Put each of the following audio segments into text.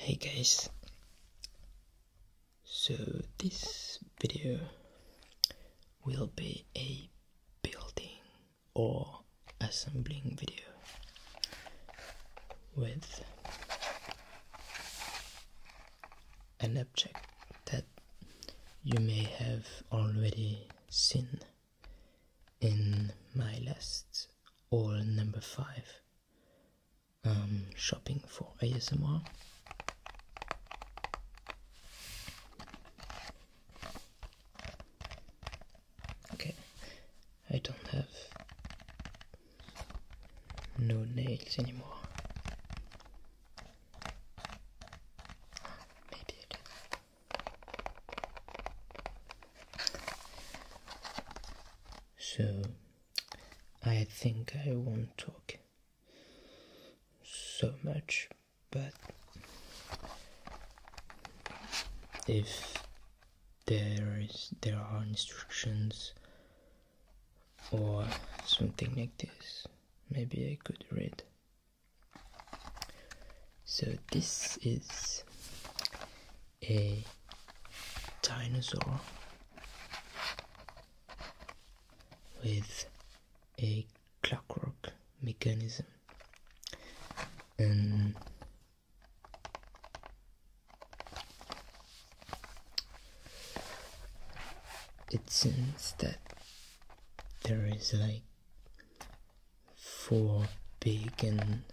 Hey guys, so this video will be a building or assembling video with an object that you may have already seen in my last all number five um, shopping for ASMR. Okay, I don't have no nails anymore. Maybe I do. So I think I won't talk so much, but if there is there are instructions or something like this maybe I could read so this is a dinosaur with a clockwork mechanism and it seems that there is like four big and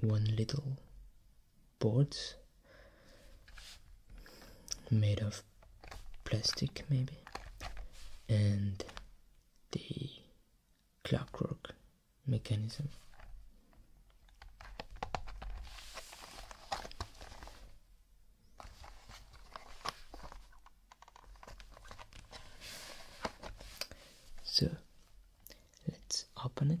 one little boards made of plastic maybe and the clockwork mechanism. So let's open it.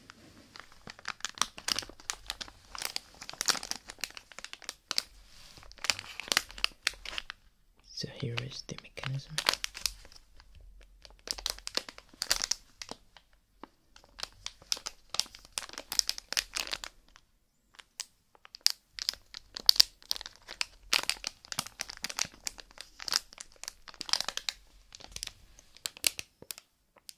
So here is the mechanism.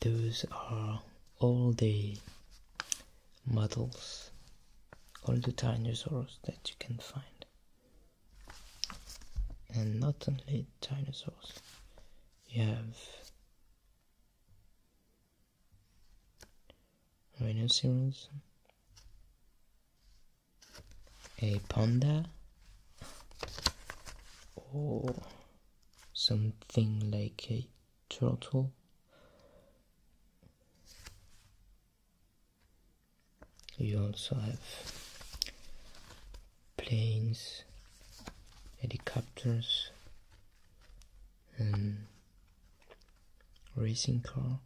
those are all the models all the dinosaurs that you can find and not only dinosaurs you have rhinoceros a panda or oh, something like a turtle. You also have planes, helicopters, and racing car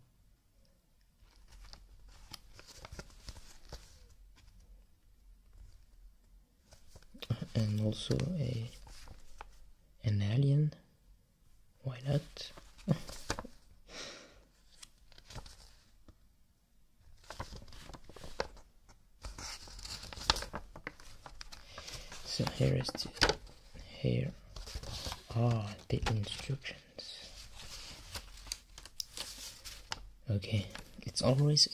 and also a an alien why not so here is here are the instructions okay it's always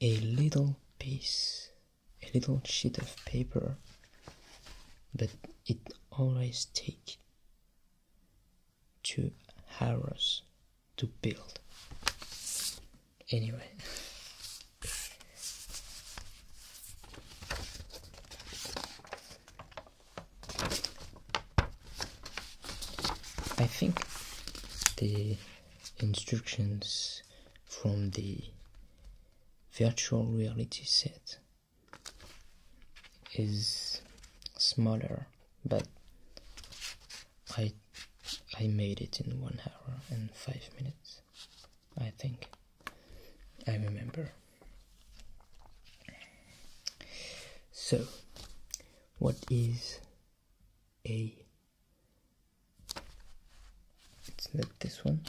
a little piece, a little sheet of paper, but it always takes two hours to build. Anyway. I think the instructions from the virtual reality set is smaller but I I made it in one hour and five minutes I think I remember so what is a Let's not this one.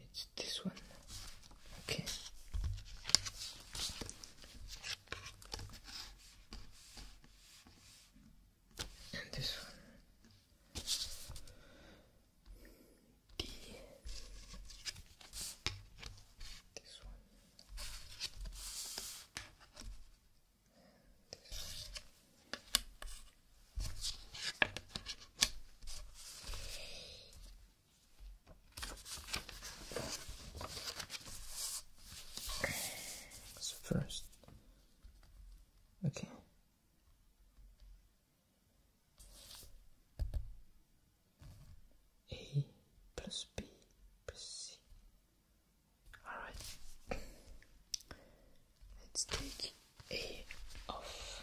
It's this one. Okay. And this one. This one. this one. So first, okay. A plus B plus C. Alright. Let's take A off.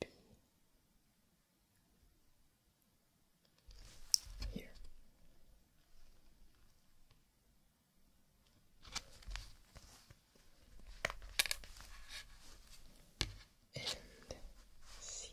Then B. Here. And see.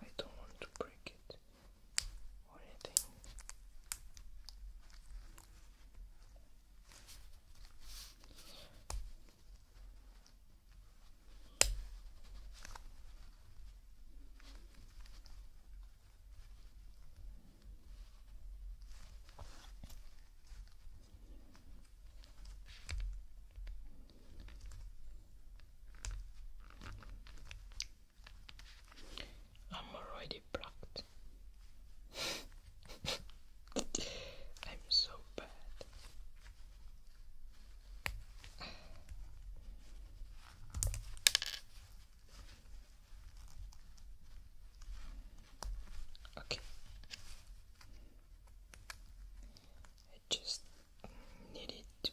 I don't want to break it or anything. I'm already blocked. I'm so bad. Okay. I just needed to,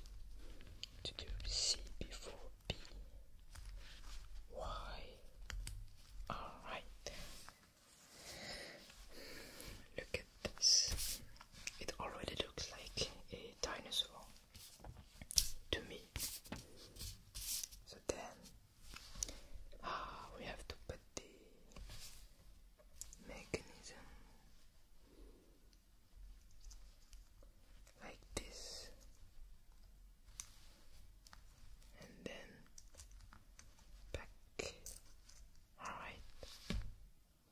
do C before B. Why? Alright. Look at this. It already looks like a dinosaur to me. So then ah, we have to put the mechanism like this and then back Alright.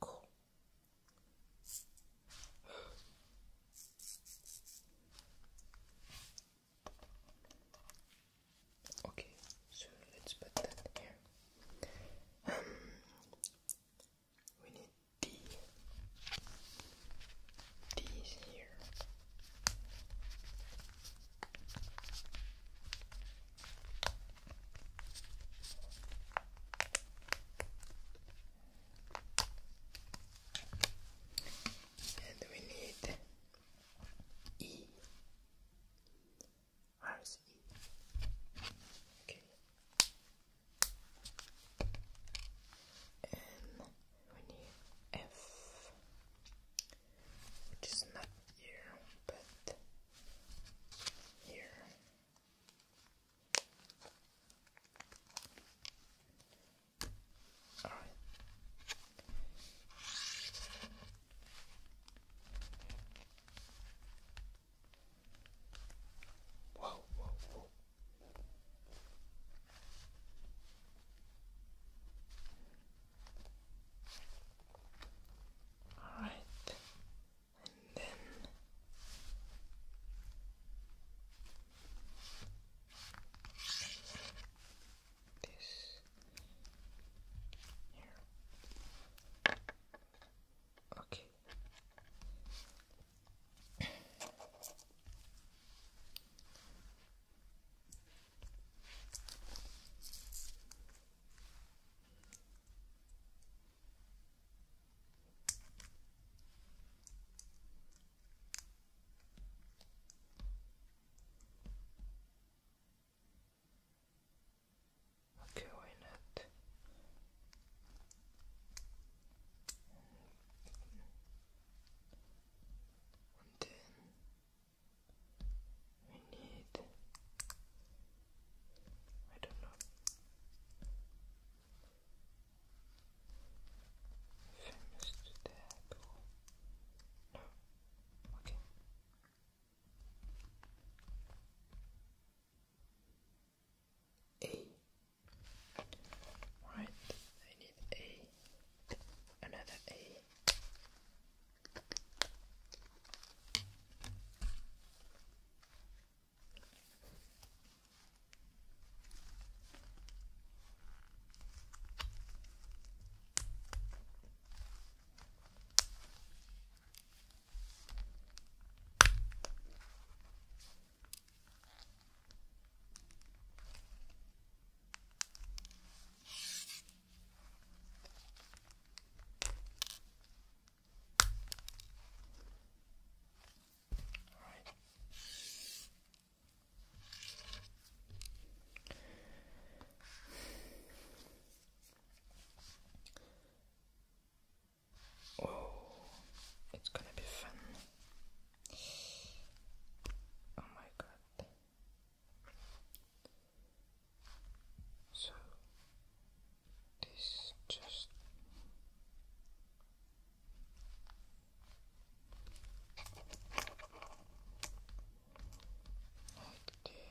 Cool. Okay, so let's put that here. Um, we need D. D is here. And we need E. Okay. And we need F which is not here, but here. All right. Whoa, whoa, whoa. All right, and then this here. Okay. Okay, why not? And then we need. I don't know. Famous to No. Okay. A. Right, I need A another A. Oh, it's gonna be fun. Oh my god. So this just like this and okay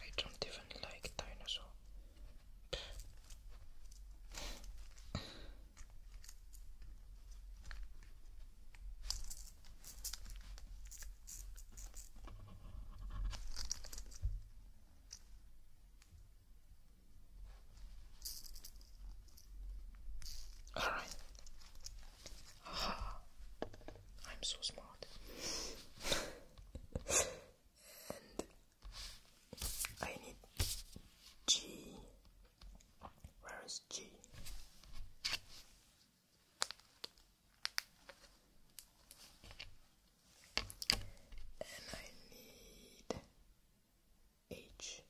I don't even like dinosaur. All right. Aha. I'm so smart. and I need G. Where is G? and I need H.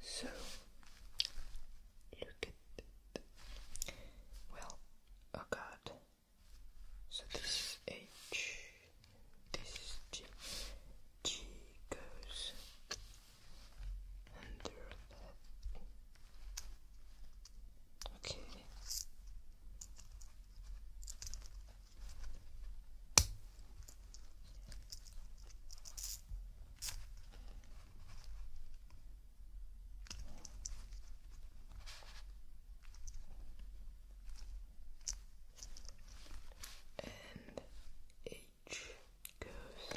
So look at Well, oh god. So this is H, this G goes and your Okay. And goes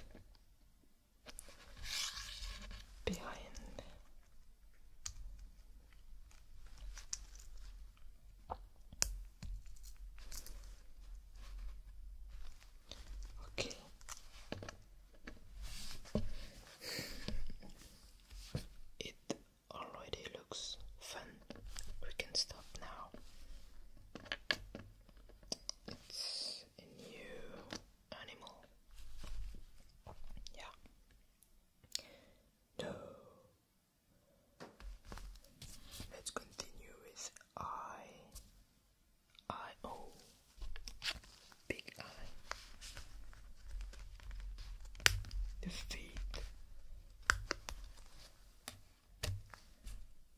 behind okay it already looks fine we can stop now. It's a new animal. Yeah. No. Let's continue with I. I O. Big I. The feet.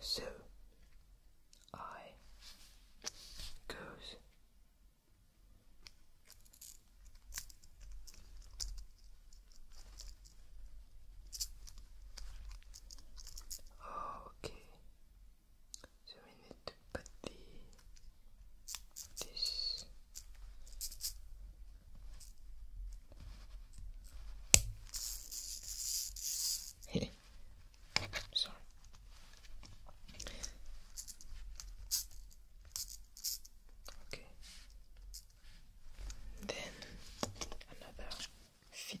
So I goes okay so we need to put the this Sorry. Okay. Then another fit.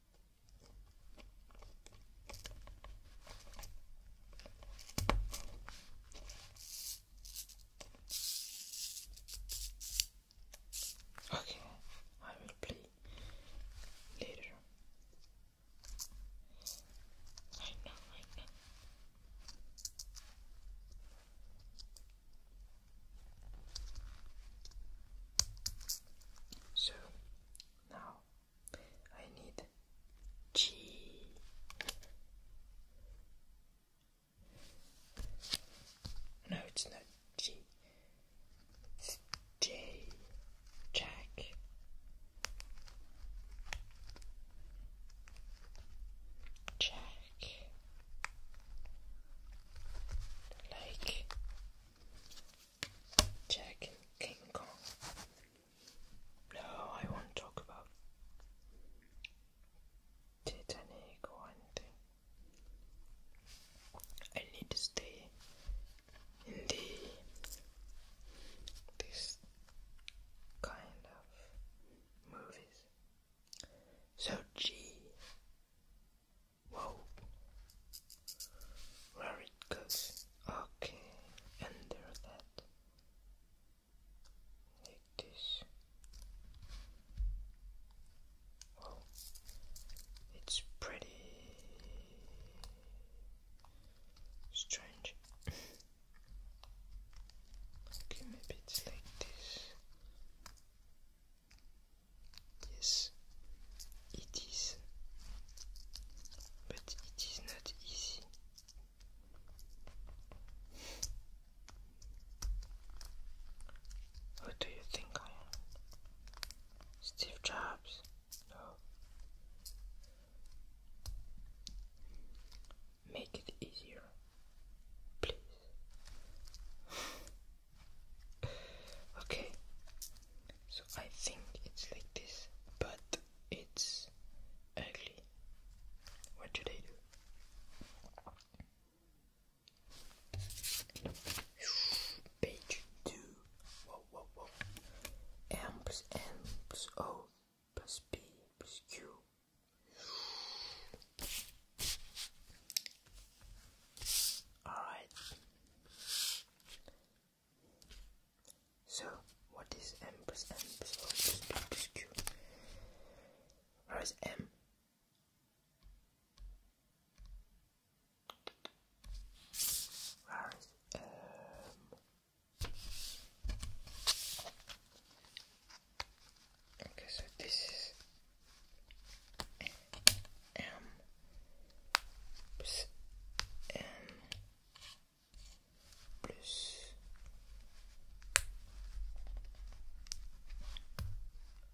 Okay, I will play later. I know, I know. So now I need G. No, it's not G. Jack. Jack. Like Jack and King Kong. No, I won't talk about Titanic or anything. I need to stay in the this kind of movies. So G. Whoa where it goes. Okay, and under that, like this. Well, it's pretty strange. okay, maybe it's like this. Yes, it is. But it is not easy. Who do you think I am? Steve Jobs? No. Make it easier, please. okay, so I think it's like this, but it's ugly. What should I do? Page two. Whoa, whoa, whoa. M plus O plus P plus Q. All right. So, what is m plus m plus o plus p plus Where is m? Where is m? Okay, so this is M plus M plus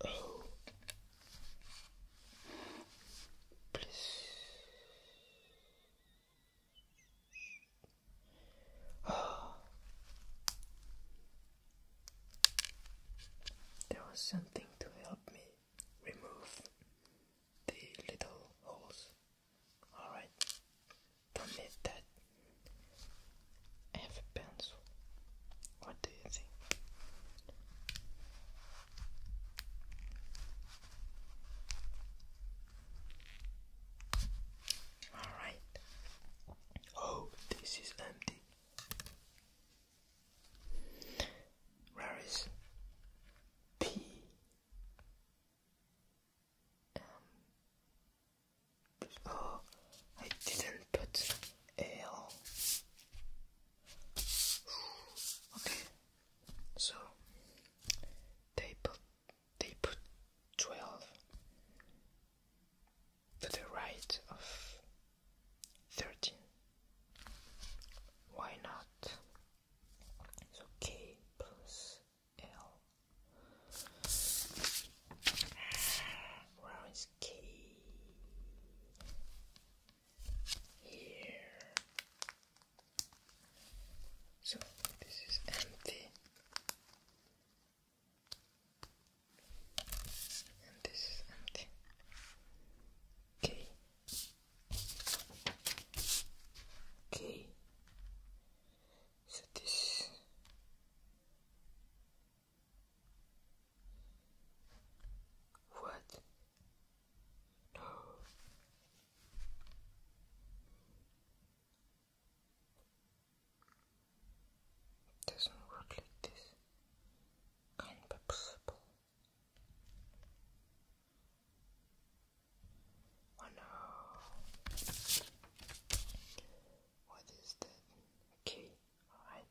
O plus oh. There was something to help me remove the little holes. Alright, don't need that. I have a pencil. What do you think? Alright. Oh, this is empty. Where is P um, oh, I didn't put L. Okay, so they put they put twelve to the right of 13 why not so k plus l where is k here so this is empty and this is empty. K Okay. So this. What? No. doesn't work like this. can Oh no. What is that? A alright.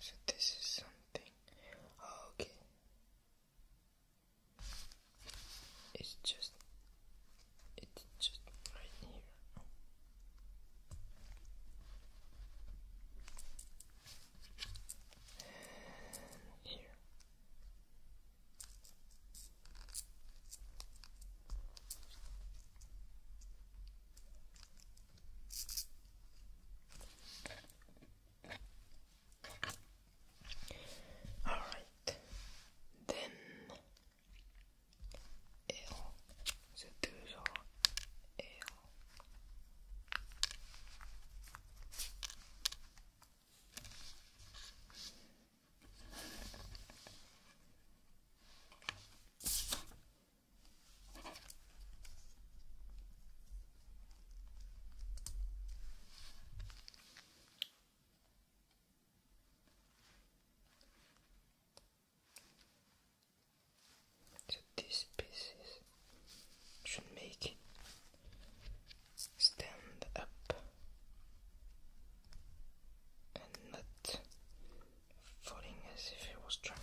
So this is something. Oh, okay. It's just. It's just right here. And here. All right, then eo seduzo eo. So these pieces should make stand up and not falling as if it was drunk.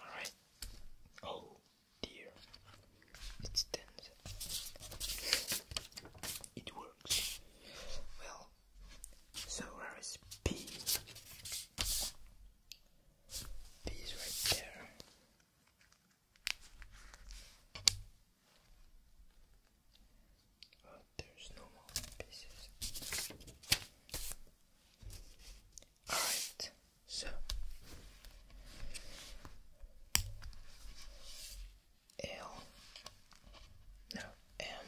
Alright. Oh dear. It's tense. It works. Well, so where is P? P is right there there's no more pieces. Alright, so L no M N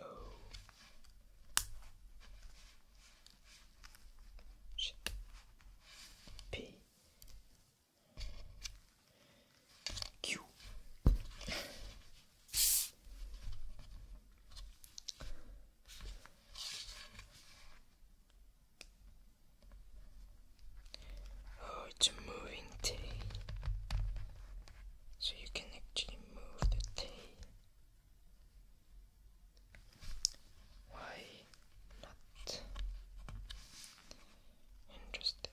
Oh. Oh, it's a moving T so you can actually move the tea. Why not? Interesting.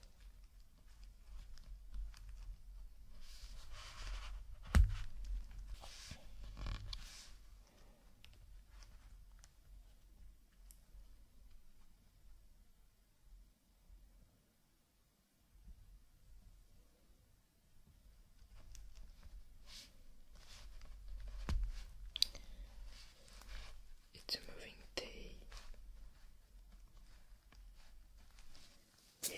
It's a moving day. Yeah.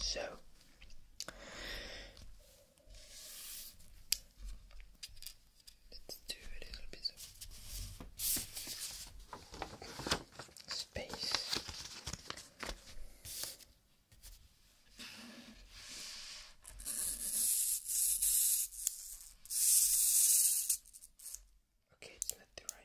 So let's do a little bit of space. Okay, it's left to right.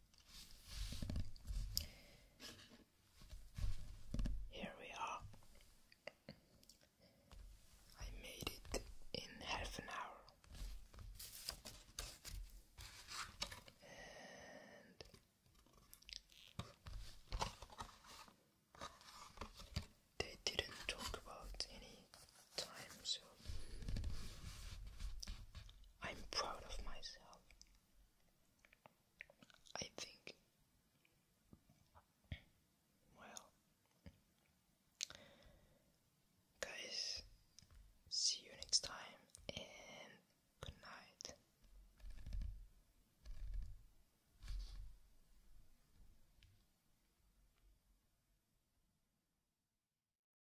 here we are. I made it in half an hour. they didn't talk about any time, so I'm proud of myself. I think, well, guys, see you next time and good night.